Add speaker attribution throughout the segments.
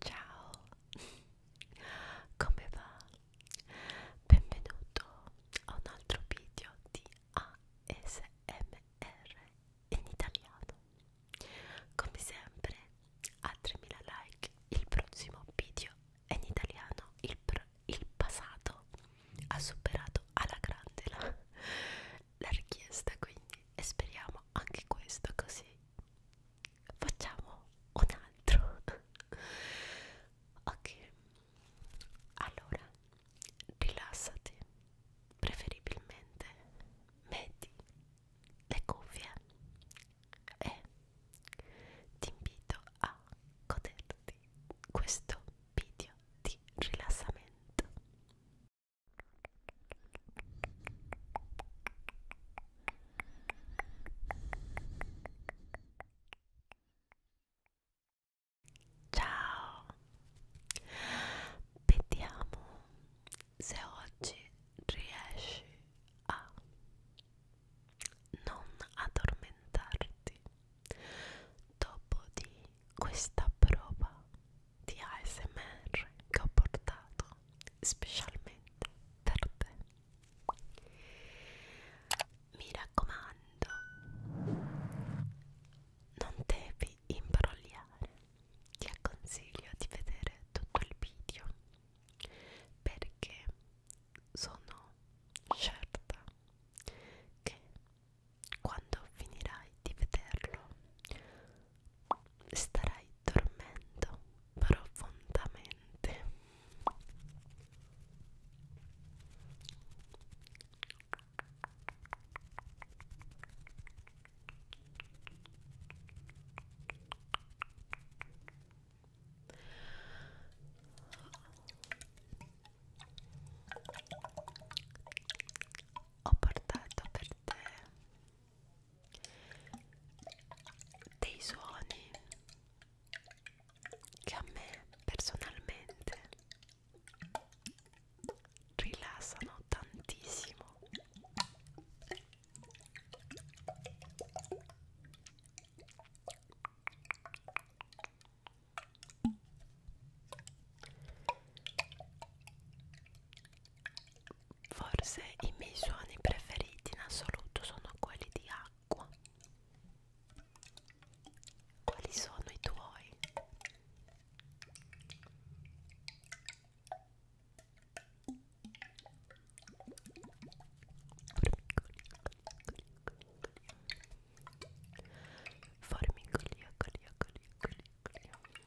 Speaker 1: Ciao, come va? Benvenuto a un altro video di ASMR in italiano. Come sempre, a 3000 like il prossimo video è in italiano. Il, il passato ha superato alla grande la, la richiesta, quindi e speriamo anche questo così facciamo un altro ok allora rilassati preferibilmente metti le cuffie e ti invito a goderti questo video di rilassamento Ciao, vediamo se oggi riesci a non addormentarti dopo di questa prova di ASMR che ho portato specialmente per te. Mi raccomando, non devi imbrogliare. Ti consiglio di vedere tutto il video perché sono certa che quando finirai di vederlo starai dormendo profondamente ho portato per te dei suoni che a me personalmente rilassano tantissimo Forse i miei suoni preferiti in assoluto sono quelli di acqua. Quali sono i tuoi? Formicoli, eccoli, eccoli, eccoli, eccoli.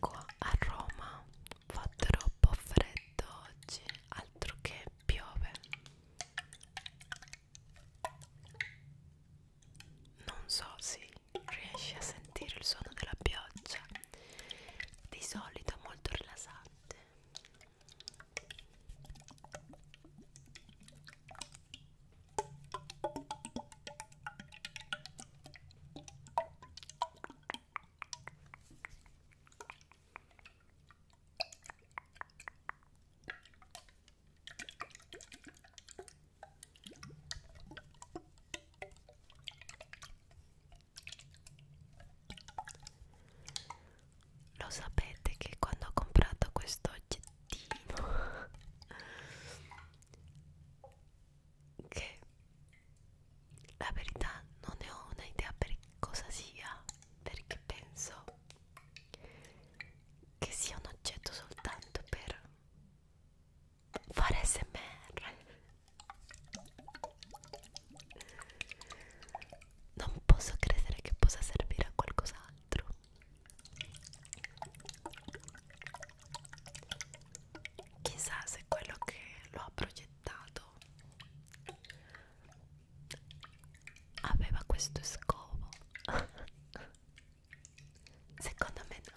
Speaker 1: Qua a Roma fa troppo freddo oggi, altro che piove. Non so se riesci a sentire il suono della pioggia, di solito è molto rilassante. Lo sapete che quando ho comprato questo gattino che la verità non ne ho un'idea per cosa sia perché penso che sia un oggetto soltanto per fare smr non posso credere che possa servire a qualcos'altro Chissà se quello che lo ha progettato aveva questo scopo. Secondo me no.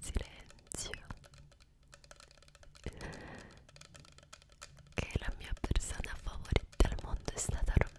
Speaker 1: silenzio che la mia persona favorita al mondo è stata Romenda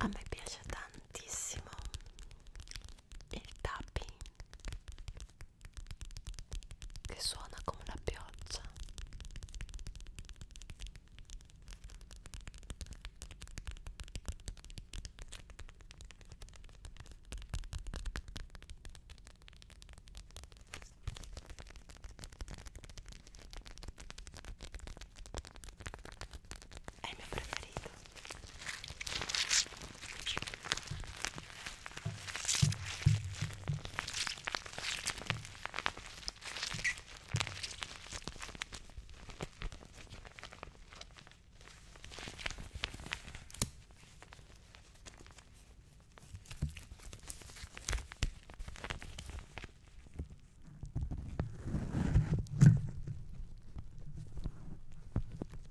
Speaker 1: A me piace tantissimo il tapping che suona come la pioggia è il mio preferito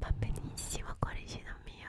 Speaker 1: マペニッシはこれしのみよ。